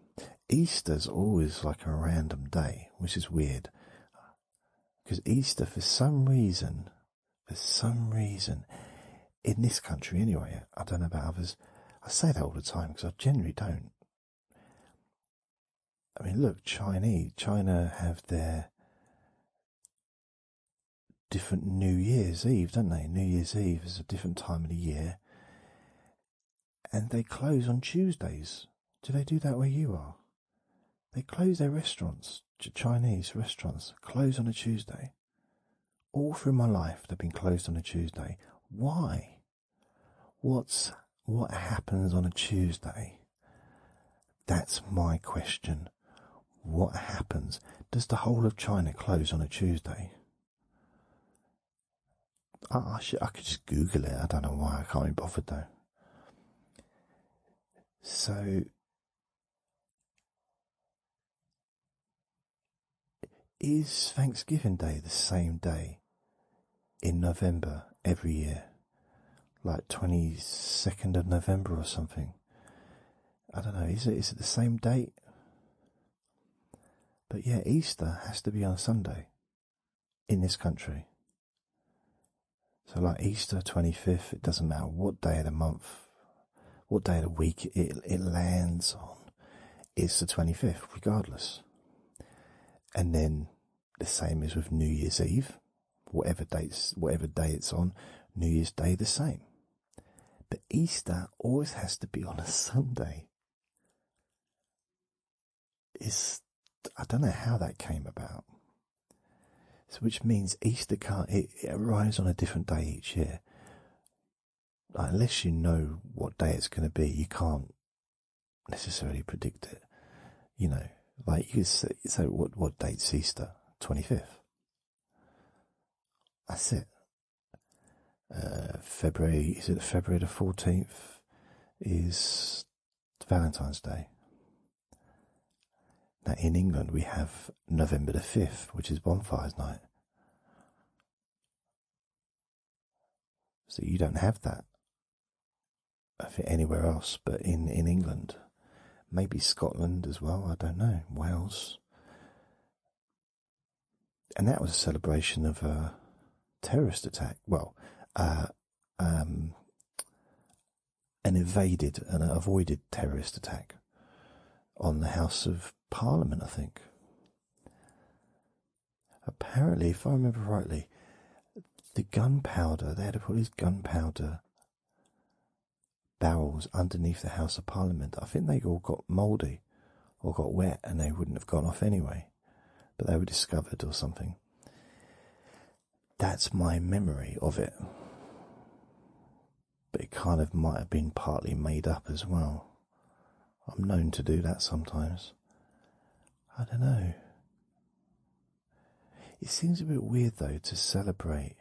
Easter's always like a random day, which is weird because Easter, for some reason, for some reason, in this country anyway, I don't know about others. I say that all the time because I generally don't. I mean, look, Chinese, China have their different New Year's Eve, don't they? New Year's Eve is a different time of the year. And they close on Tuesdays. Do they do that where you are? They close their restaurants, Chinese restaurants, close on a Tuesday. All through my life, they've been closed on a Tuesday. Why? What's what happens on a Tuesday? That's my question. What happens? Does the whole of China close on a Tuesday? I, I could just Google it. I don't know why. I can't be bothered though. So, is Thanksgiving Day the same day in November every year, like 22nd of November or something. I don't know, is it, is it the same date? But yeah, Easter has to be on Sunday in this country. So, like Easter 25th, it doesn't matter what day of the month, what day of the week it, it lands on, it's the 25th, regardless. And then the same as with New Year's Eve, whatever dates, whatever day it's on, New Year's Day the same. But Easter always has to be on a Sunday. It's, I don't know how that came about. So which means Easter can't, it, arrives on a different day each year. unless you know what day it's going to be, you can't necessarily predict it. You know, like you say, so what, what date's Easter? 25th. That's it. Uh, February, is it February the 14th? Is Valentine's Day. Now, in England, we have November the 5th, which is Bonfires Night. So you don't have that anywhere else, but in in England, maybe Scotland as well. I don't know Wales, and that was a celebration of a terrorist attack. Well, uh, um, an evaded and avoided terrorist attack on the House of Parliament, I think apparently, if I remember rightly, the gunpowder, they had to put his gunpowder barrels underneath the House of Parliament. I think they all got mouldy or got wet and they wouldn't have gone off anyway, but they were discovered or something. That's my memory of it. But it kind of might have been partly made up as well. I'm known to do that sometimes. I don't know. It seems a bit weird though to celebrate.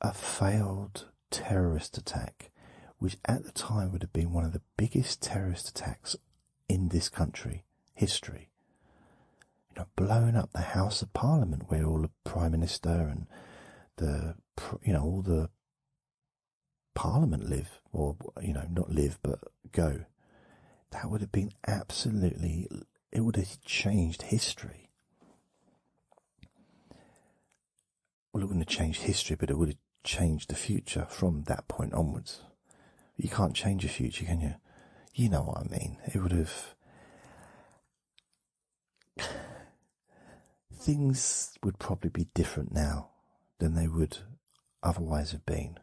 A failed terrorist attack, which at the time would have been one of the biggest terrorist attacks in this country history. You know, blowing up the House of Parliament, where all the Prime Minister and the you know all the Parliament live, or you know, not live but go, that would have been absolutely. It would have changed history. Well, it wouldn't have changed history, but it would have changed the future from that point onwards. You can't change the future, can you? You know what I mean. It would have things would probably be different now than they would otherwise have been.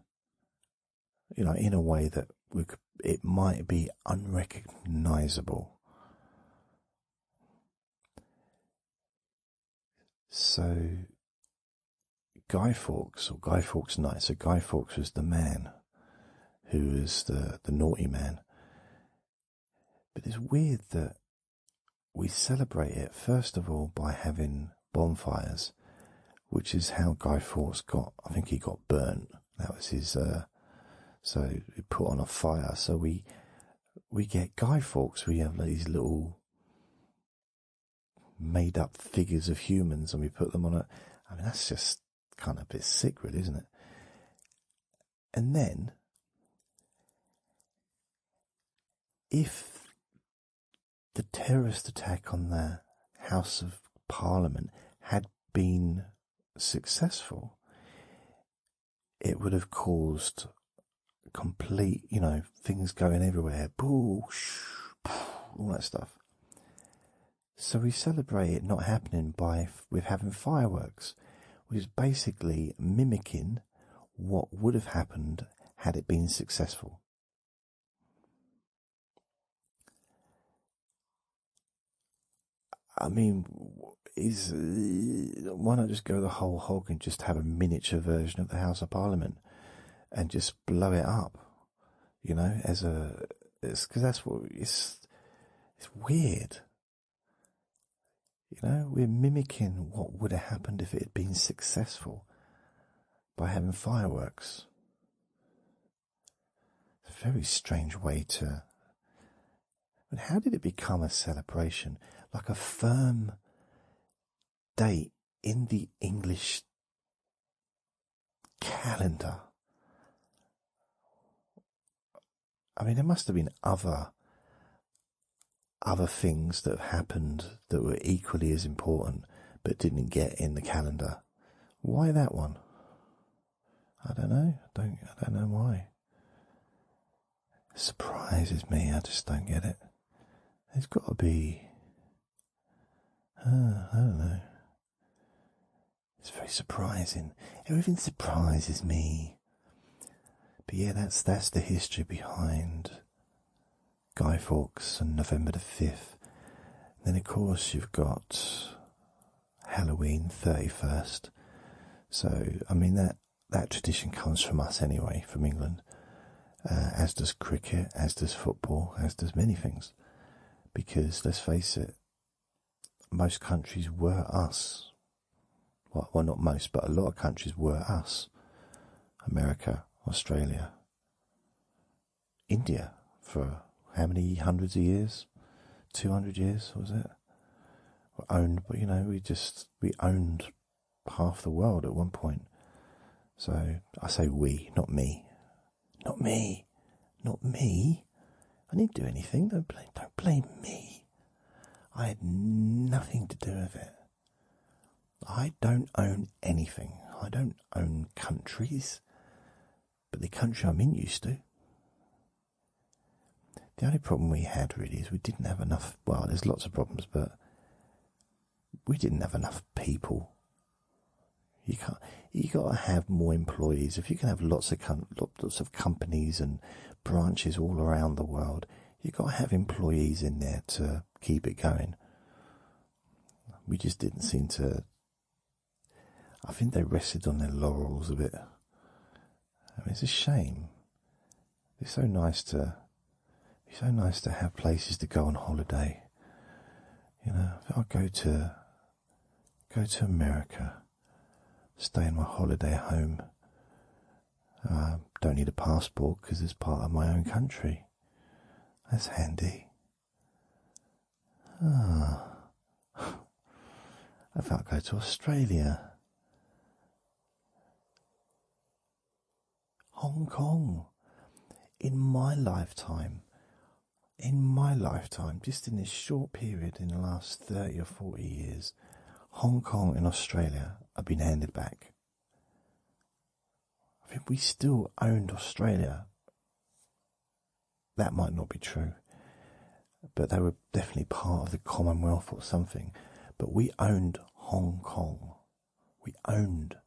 You know, in a way that it might be unrecognizable. So, Guy Fawkes, or Guy Fawkes Night, so Guy Fawkes was the man who was the, the naughty man. But it's weird that we celebrate it first of all by having bonfires, which is how Guy Fawkes got. I think he got burnt. That was his. Uh, so he put on a fire. So we we get Guy Fawkes. We have these little made up figures of humans, and we put them on it. I mean, that's just kind of a bit sick, really, isn't it? And then if the terrorist attack on the House of Parliament had been successful, it would have caused complete, you know, things going everywhere, boo, all that stuff. So we celebrate it not happening by with having fireworks, which is basically mimicking what would have happened had it been successful. I mean, is why not just go the whole hog and just have a miniature version of the House of Parliament and just blow it up, you know, as a, because that's what it's, it's weird. You know, we're mimicking what would have happened if it had been successful by having fireworks. It's a very strange way to. But how did it become a celebration? Like a firm date in the English calendar. I mean, there must have been other other things that have happened that were equally as important but didn't get in the calendar. Why that one? I don't know. I don't I don't know why. It surprises me. I just don't get it. it has got to be. Uh, I don't know. It's very surprising. Everything surprises me. But yeah, that's that's the history behind Guy Fawkes on November the 5th. Then, of course, you've got Halloween 31st. So, I mean, that, that tradition comes from us anyway, from England, uh, as does cricket, as does football, as does many things. Because, let's face it, most countries were us well, not most, but a lot of countries were us. America, Australia, India for how many hundreds of years? 200 years, was it? we owned, but you know, we just, we owned half the world at one point. So I say we, not me. Not me. Not me. I didn't do anything. Don't blame, don't blame me. I had nothing to do with it. I don't own anything. I don't own countries, but the country I'm in used to. The only problem we had really is we didn't have enough. Well, there's lots of problems, but we didn't have enough people. You can't. You got to have more employees. If you can have lots of lots of companies and branches all around the world, you got to have employees in there to keep it going. We just didn't seem to. I think they rested on their laurels a bit. it's a shame. It's so nice to. It's so nice to have places to go on holiday. You know, I'll go to. Go to America, stay in my holiday home, uh, don't need a passport because it's part of my own country. That's handy. Ah. I go to Australia. Hong Kong. In my lifetime, in my lifetime, just in this short period in the last 30 or 40 years, Hong Kong and Australia have been handed back. I think we still owned Australia. That might not be true, but they were definitely part of the Commonwealth or something. But we owned Hong Kong. We owned,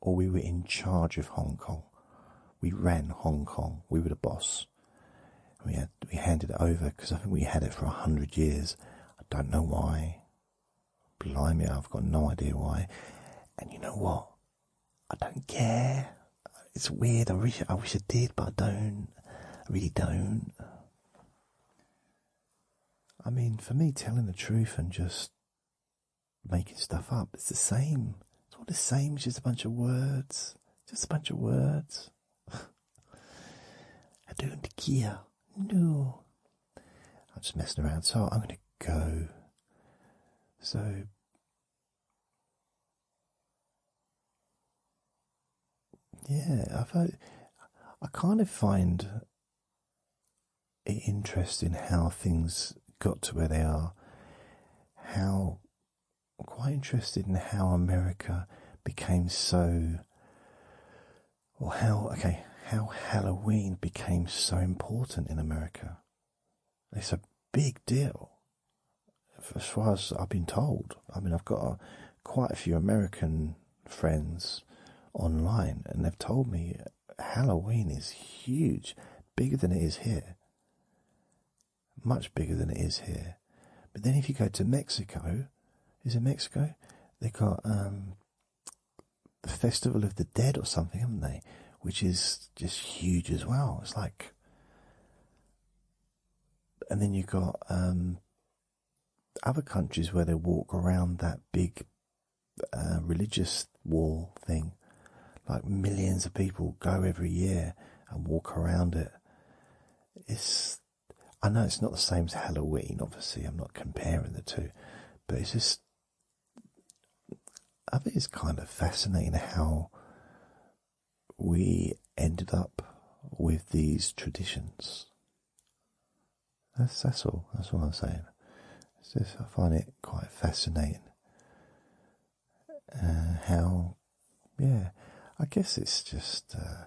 or we were in charge of Hong Kong. We ran Hong Kong. We were the boss. We had we handed it over because I think we had it for a hundred years. I don't know why. Blimey, I've got no idea why. And you know what? I don't care. It's weird. I wish I did, but I don't. I really don't. I mean, for me, telling the truth and just making stuff up, it's the same. It's all the same. It's just a bunch of words. Just a bunch of words. I don't care. No, I'm just messing around. So I'm going to go. So. Yeah, i I kind of find it interesting how things got to where they are. How quite interested in how America became so or how okay how Halloween became so important in America. It's a big deal. As far as I've been told, I mean, I've got uh, quite a few American friends online, and they've told me Halloween is huge, bigger than it is here, much bigger than it is here. But then, if you go to Mexico, is it Mexico? They got um, the Festival of the Dead or something, haven't they? Which is just huge as well. It's like, and then you have got um, other countries where they walk around that big uh, religious wall thing. Like millions of people go every year and walk around it. It's, I know it's not the same as Halloween, obviously, I'm not comparing the two, but it's just I think it's kind of fascinating how we ended up with these traditions. That's that's all. That's all I'm saying. I find it quite fascinating uh, how, yeah, I guess it's just uh,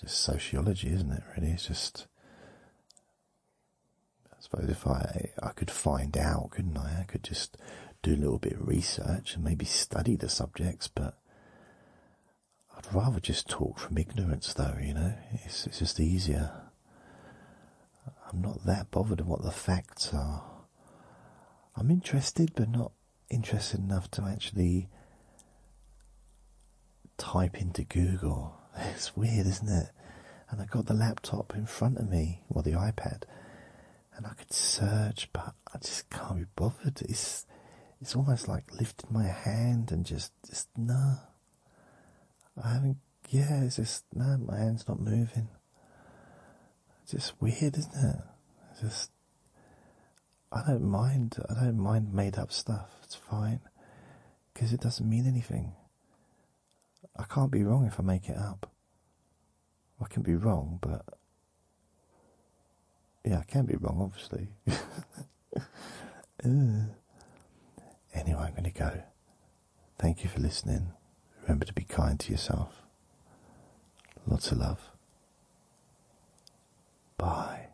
just sociology, isn't it? Really, it's just. I suppose if I I could find out, couldn't I? I could just do a little bit of research and maybe study the subjects, but I'd rather just talk from ignorance, though. You know, it's it's just easier. I'm not that bothered what the facts are. I'm interested, but not interested enough to actually type into Google. It's weird, isn't it? And I got the laptop in front of me, or the iPad, and I could search, but I just can't be bothered. It's it's almost like lifting my hand and just just no. I haven't. Yeah, it's just no. my hand's not moving. It's just weird, isn't it? just I don't mind. I don't mind made up stuff. It's fine because it doesn't mean anything. I can't be wrong if I make it up. I can be wrong, but yeah, I can be wrong, obviously. anyway, I'm going to go. Thank you for listening. Remember to be kind to yourself. Lots of love. Bye.